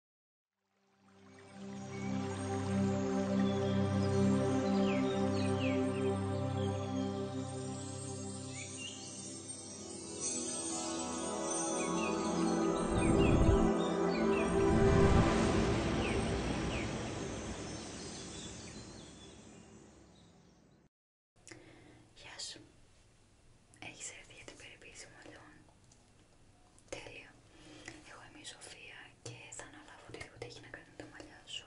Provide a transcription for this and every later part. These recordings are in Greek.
Υπότιτλοι AUTHORWAVE Έχεις Τέλεια. Εγώ είμαι η Σοφία και θα αναλάβω λίγο έχει να κάνει με τα μαλλιά σου.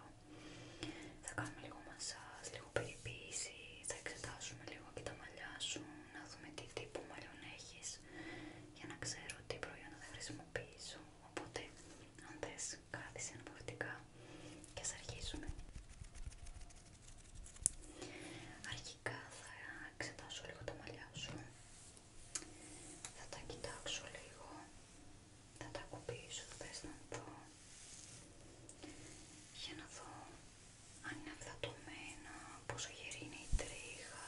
Θα κάνουμε λίγο μασάζ, λίγο περιποίηση, θα εξετάσουμε λίγο και τα μαλλιά σου, να δούμε τι τύπου μαλλιών έχεις για να ξέρω τι προϊόντα θα χρησιμοποιήσω. Οπότε, αν θες, κάθισε αναπαυτικά και ας αρχίσουμε ξεκάθαρα, εξετάσω λίγο τα μαλλιά σου θα τα κοιτάξω λίγο θα τα κουμπίσω, το πες να δω για να δω αν είναι αυθατωμένα, πόσο γερή είναι η τρίχα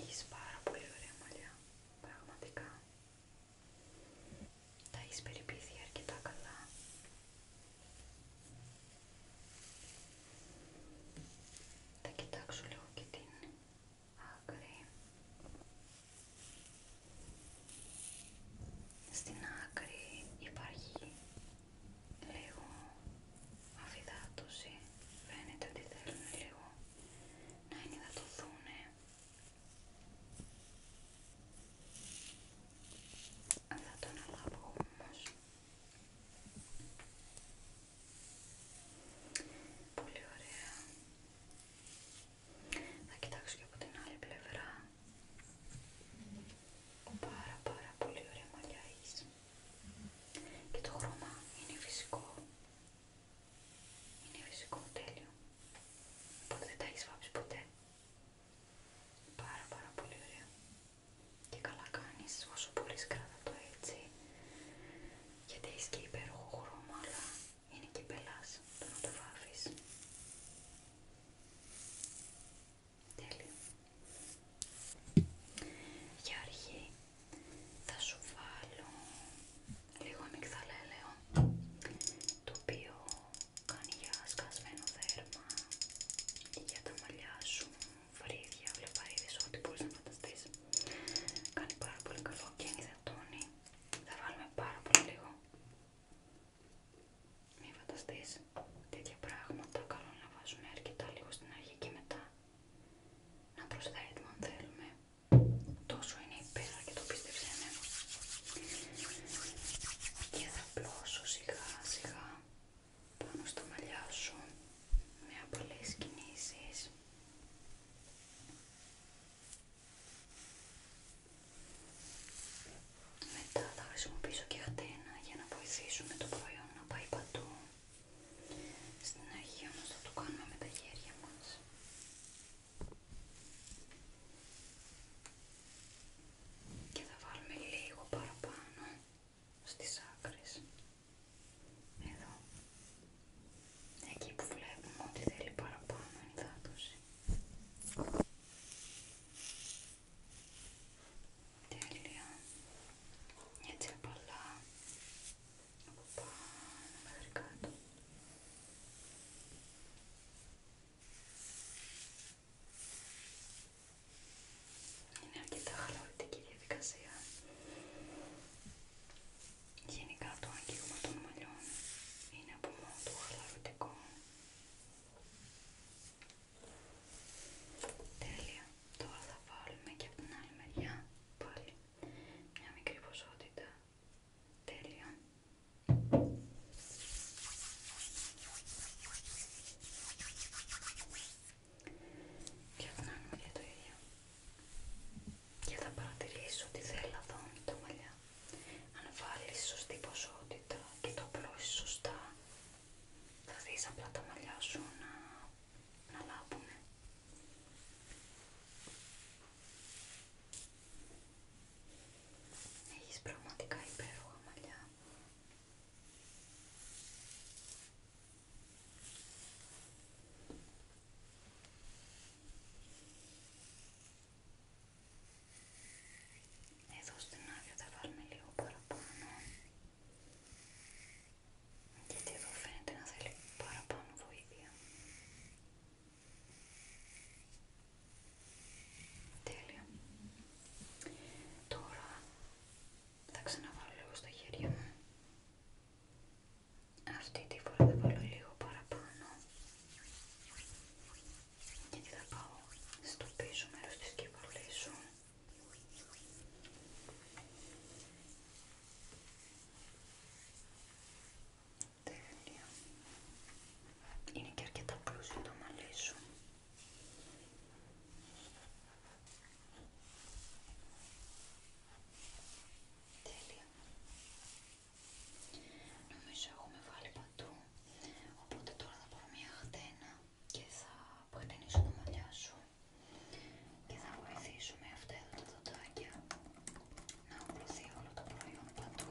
έχεις πάρα πολύ ωραία μαλλιά, πραγματικά τα έχεις περιποιηθεί αρκετά καλά θα κοιτάξω λίγο και την άκρη. Στην άκρη υπάρχει λίγο αφυδάτωση. Φαίνεται ότι θέλουν λίγο να ενυδατωθούν. Θα το αναλάβω όμως Πολύ ωραία. Θα κοιτάξω και από την άλλη πλευρά. Πάρα πάρα πολύ ωραία μαλλιά Και το χρώμα είναι φυσικό. Είναι φυσικό τέλειο. Οπότε δεν τα έχεις βάψει ποτέ. Πάρα πάρα πολύ ωραία. Και καλά κάνεις όσο μπορείς κράτα το έτσι γιατί έχει και υπέροχο χρώμα αλλά είναι και πελάς το να το βάφεις. Τέλειο. Για αρχή θα σου βάλω λίγο αμυγδαλέλαιο το οποίο κάνει για σκασμένο δέρμα, για τα μαλλιά σου, φρύδια, βλεπαρίδες, ό,τι μπορείς να φανταστείς. Κάνει πάρα πολύ καλό και ενυδατώνει. Θα βάλουμε πάρα πολύ λίγο. Μη φανταστείς τέτοια πράγματα. Καλό να βάζουμε αρκετά λίγο στην αρχή και μετά να προσθέτουμε αν θέλουμε. Τόσο είναι υπέρα και το πίστεψέ με. Και θα πλώσω σιγά σιγά πάνω στα μαλλιά σου με πολλές κινήσεις μετά θα χρησιμοποιήσω και ατένα για να βοηθήσουμε το προϊόν να πάει παντού στην αρχή όμως θα το κάνουμε με τα χέρια μας και θα βάλουμε λίγο παραπάνω στις άκρες εδώ εκεί που βλέπουμε ότι θέλει παραπάνω ενδάτωση τέλεια έτσι απαλά από πάνω μέχρι κάτω είναι αρκετά χαλαρωτική διαδικασία. Γενικά το αγγίγμα των μαλλιών είναι από μόνο του χαλαρωτικό. Τέλεια. Τώρα θα βάλουμε και από την άλλη μεριά πάλι μια μικρή ποσότητα. Τέλεια και φτάνουμε για το ίδιο και θα παρατηρήσω ότι δεν λαδώνει τα μαλλιά αν βάλεις σωστή ποσότητα και το απλώσεις σωστά θα δεις απλά τα μαλλιά σου να, λάβουμε λάβουνε Έχεις πραγματικά υπέροχα μαλλιά εδώ στην άδεια θα βάλουμε λίγο παραπάνω γιατί εδώ φαίνεται να θέλει παραπάνω βοήθεια. Τέλεια. Τώρα θα ξαναβάλω λίγο στα χέρια μου. Αυτή τη φορά θα βάλω λίγο παραπάνω. Γιατί θα πάω στο πίσω μέρος της κεφαλής σου. Τέλεια. Είναι και αρκετά πλούσιο το μαλλί σου. Τέλεια. Νομίζω έχουμε βάλει παντού, οπότε τώρα θα πάρω μια χτένα και θα χτενίσω τα μαλλιά σου και θα βοηθήσω με αυτά εδώ τα δοντάκια να απλωθεί όλο το προϊόν παντού.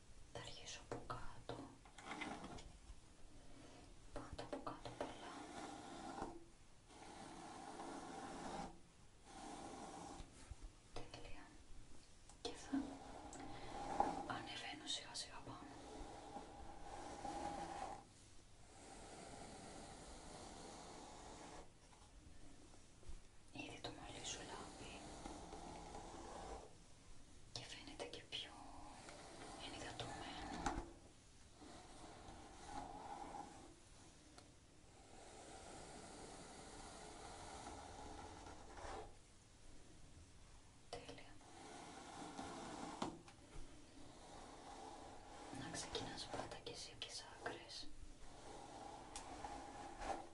θα αρχίσω από κάτω. Πάντα από κάτω πολλά. Τέλεια. Και θα ανεβαίνω σιγά σιγά πάνω. Ήδη το μαλλί σου λάβει και φαίνεται και πιο ενυδατωμένο. Τέλεια. Να ξεκινάς πάντα και εσύ τις άκρες.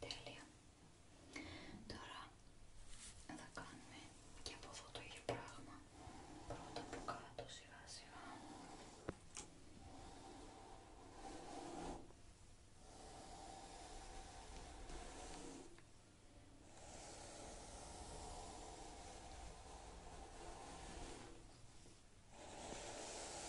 Τέλεια. Τώρα θα κάνουμε και από εδώ το ίδιο πράγμα. Πρώτα από κάτω σιγά σιγά. Τέλειο.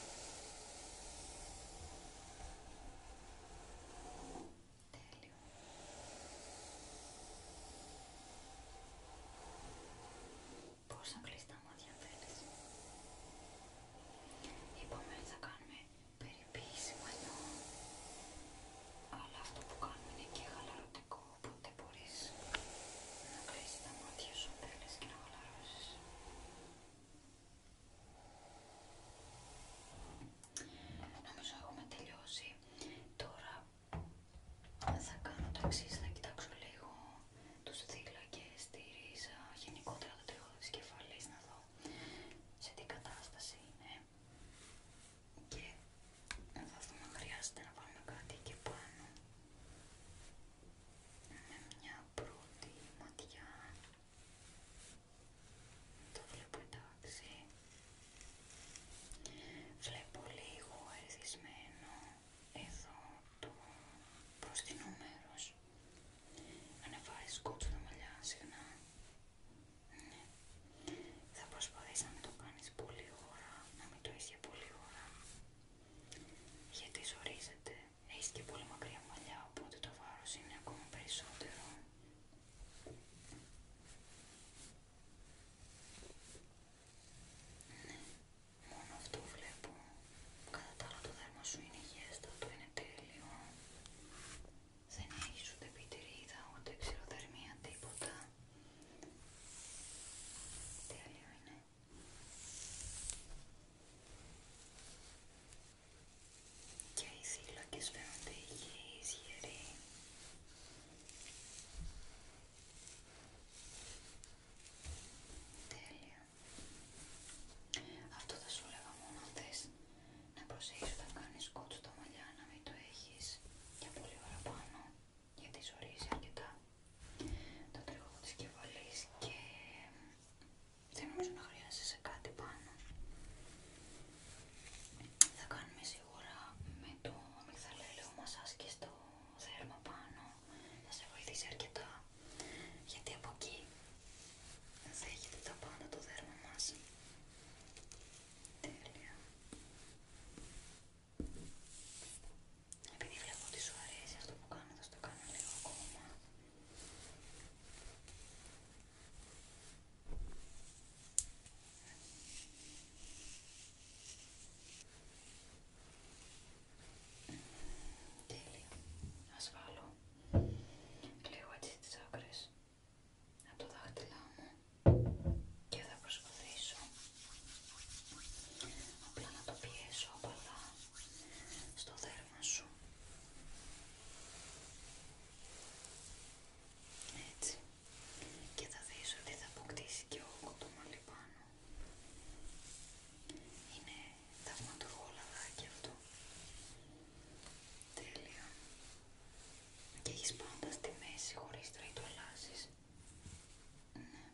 Πώς να κλείσει τα μάτια αν θέλεις. Είπαμε θα κάνουμε περιποίηση μαλλιών, αλλά αυτό που κάνουμε είναι και χαλαρωτικό, οπότε μπορείς να κλείσεις τα μάτια σου αν και να χαλαρώσεις. Νομίζω έχουμε τελειώσει. Τώρα θα κάνω το εξή: θα κοιτάξω λίγο του θύλακε τη ρίζα, γενικότερα το τριχώδη τη κεφαλή, να δω σε τι κατάσταση είναι. Και θα δούμε αν χρειάζεται να βάλουμε κάτι εκεί πάνω. μια πρώτη ματιά το βλέπω εντάξει βλέπω λίγο ερθισμένο εδώ το προστινό μέρος ανεβάζει κότσο τα μαλλιά συχνά ναι. θα προσπαθείς να το κάνεις πολύ ώρα να μην το είσαι πολύ ώρα γιατί ζορίζεται Έχεις και πολύ μακριά μαλλιά, οπότε το βάρος είναι ακόμα περισσότερο. Ναι, μόνο αυτό βλέπω. Κατά τα άλλα το δέρμα σου είναι το είναι τέλειο. Δεν έχεις ούτε πιτηρίδα, ούτε ξηροδερμία, τίποτα. Τέλειο είναι και οι θύλακες φαίνονται υγιείς, γεροί. Τέλεια. Αυτό θα σου έλεγα μόνο αν θες να προσέχεις όταν κάνεις κότσο τα μαλλιά να μην το έχεις για πολύ ώρα πάνω γιατί ζωρίζει αρκετά το από της κεφαλής και ε, δεν νομίζω να σε κάτι πάνω. Θα κάνουμε σίγουρα με το αμυγδαλέλαιο μασάζ και στο δέρμα πάνω. Θα σε βοηθήσει αρκετά γιατί από εκεί δέχεται τα πάντα το δέρμα μας. Τέλεια. Επειδή βλέπω ότι σου αρέσει αυτό που κάνω, θα το κάνω λίγο ακόμα. Τέλεια. Ας βάλω λίγο έτσι τις άκρες από το δάχτυλά μου και θα προσπαθήσω απλά να το πιέσω απαλά στο δέρμα σου έτσι και θα δεις ότι θα αποκτήσει και το κοτομάλι πάνω είναι θαυματουργό λαδάκι αυτό τέλεια και έχεις πάντα στη μέση χωρίς τρίτο ναι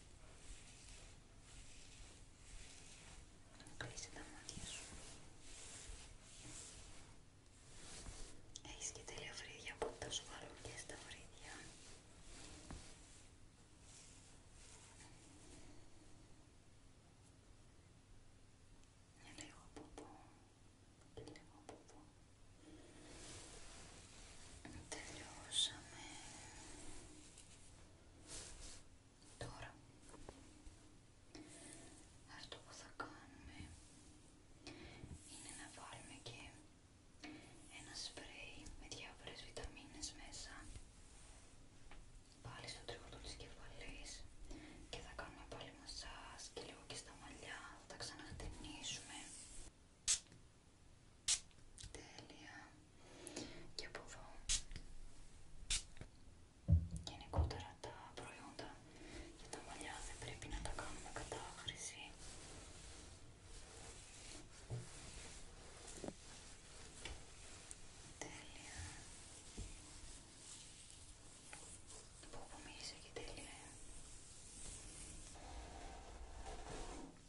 Κλείσει τα μάτια σου. Έχεις και τέλεια φρύδια που θα σου και στα φρύδια. Και λίγο ποπό Τελειώσαμε. Τώρα, αυτό που θα κάνουμε είναι να βάλουμε και ένα σπρέι με διάφορες βιταμίνες μέσα πάλι στο τρίχο της κεφαλής και θα κάνουμε πάλι μασάζ και λίγο και στα μαλλιά, θα τα Τέλεια. Και από εδώ γενικότερα τα προϊόντα και τα μαλλιά δεν πρέπει να τα κάνουμε κατάχρηση. Τέλεια. Που μίλησε και τέλεια.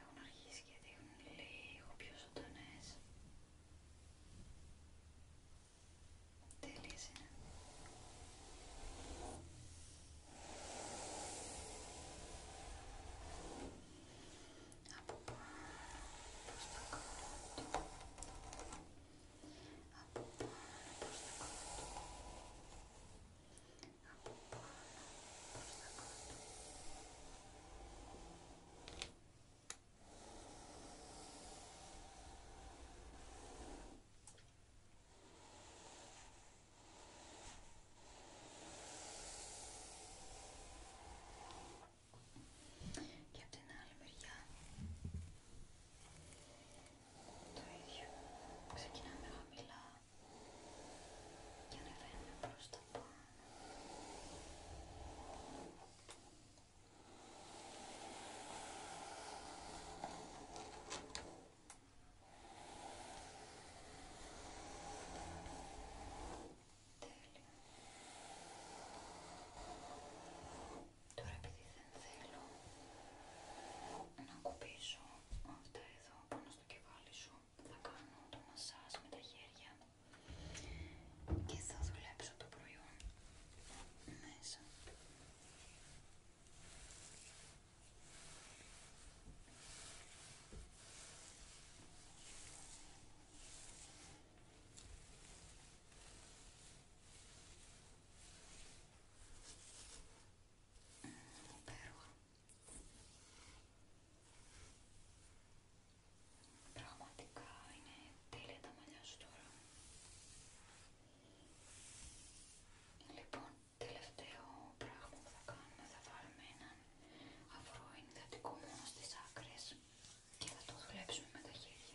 έχουν αρχίσει και δείχνουν λίγο πιο ζωντανές. Τέλειες είναι. Από πάνω προς τα κάτω. Από πάνω προς τα κάτω από πάνω προς τα κάτω. Και από την άλλη μεριά το ίδιο και ανεβαίνουμε προς τα πάνω Τέλεια. Τώρα επειδή δεν θέλω να κουμπίσω αυτά εδώ πάνω στο κεφάλι σου θα κάνω το μασάζ με τα χέρια και θα δουλέψω το προϊόν μέσα. Υπέροχα. Πραγματικά είναι τέλεια τα μαλλιά σου τώρα. Λοιπόν, τελευταίο πράγμα που θα κάνουμε, θα βάλουμε έναν αυρό ενυδατικό μόνο στις άκρες και θα το δουλέψουμε με τα χέρια.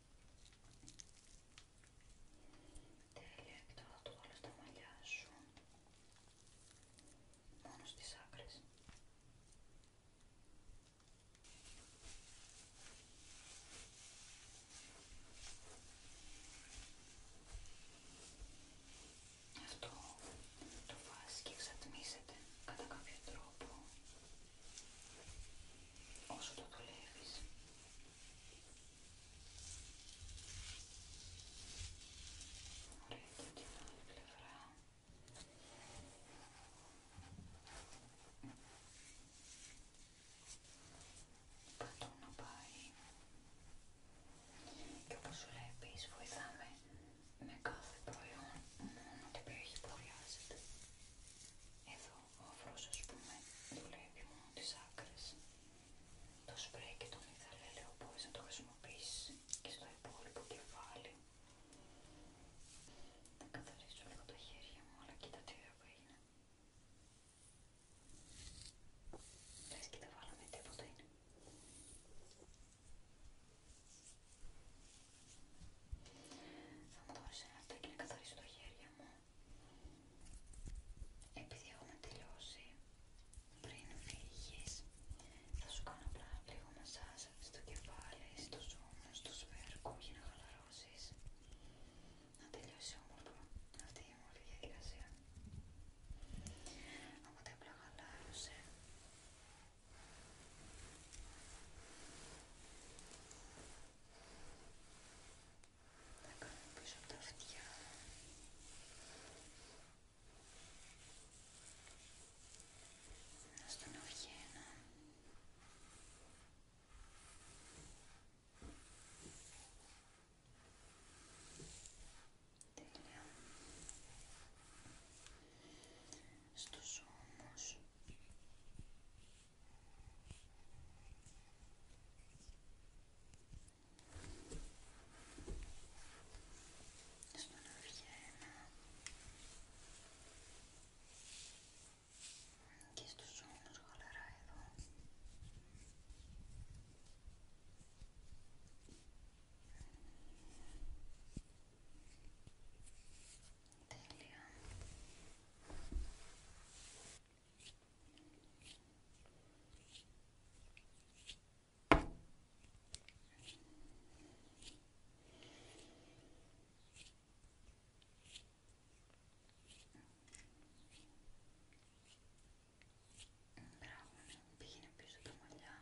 Τέλεια, και τώρα το βάλω στα μαλλιά σου, μόνο στις άκρες. Αυτό το βάζει και εξατμίζεται κατά κάποιο τρόπο όσο το δουλεύεις. Ωραία και την άλλη πλευρά. Παντού να πάει. Και όπως σου λέει επίσης βοηθάμε με κάθε προϊόν μόνο την περιοχή που χρειάζεται. Εδώ ο αφρός ας πούμε δουλεύει μόνο τις άκρες το σπρέι και το μυθαλέ λέω μπορείς να το χρησιμοποιήσει και στο υπόλοιπο κεφάλι θα καθαρίσω λίγο τα χέρια μου αλλά κοίτα τι ωραίο που έγινε λες και τα βάλαμε τίποτα είναι θα μου δώσεις ένα λεπτάκι να καθαρίσω τα χέρια μου επειδή έχουμε τελειώσει πριν φύγεις θα σου κάνω απλά λίγο μασάζ στο κεφάλι, στους ώμους, στο σφαίρκο για να χαλαρώσεις να τελειώσει όμορφα αυτή η όμορφη διαδικασία οπότε απλά χαλάρωσε να πάμε πίσω τα αυτιά. Να στον αυγένα. Τέλεια. Στον Αυγένα και στους ώμους χαλαρά εδώ Τέλεια. Μπράβο, πήγαινε πίσω τα μαλλιά.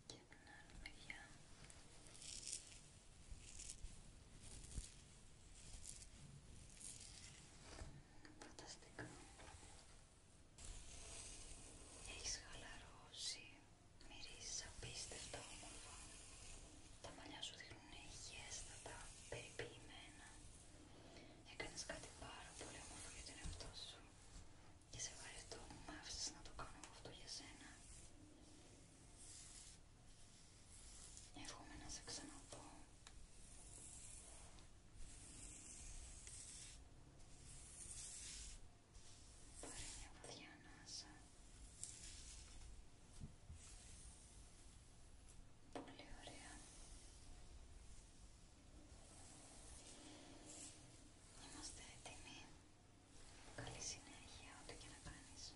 και την άλλη μεριά Φανταστικά. έχεις χαλαρώσει μυρίζεις απίστευτα όμορφα τα μαλλιά σου δείχνουν υγιέστατα, περιποιημένα έκανες κάτι πάρα πολύ όμορφο για τον εαυτό σου και σε βαρετό μου μ' άφησες να το κάνω αυτό για σένα εύχομαι να σε ξαναπώ. πάρε μια βαθιά ανάσα πολύ ωραία Είμαστε έτοιμοι Καλή συνέχεια ό,τι και να κάνεις.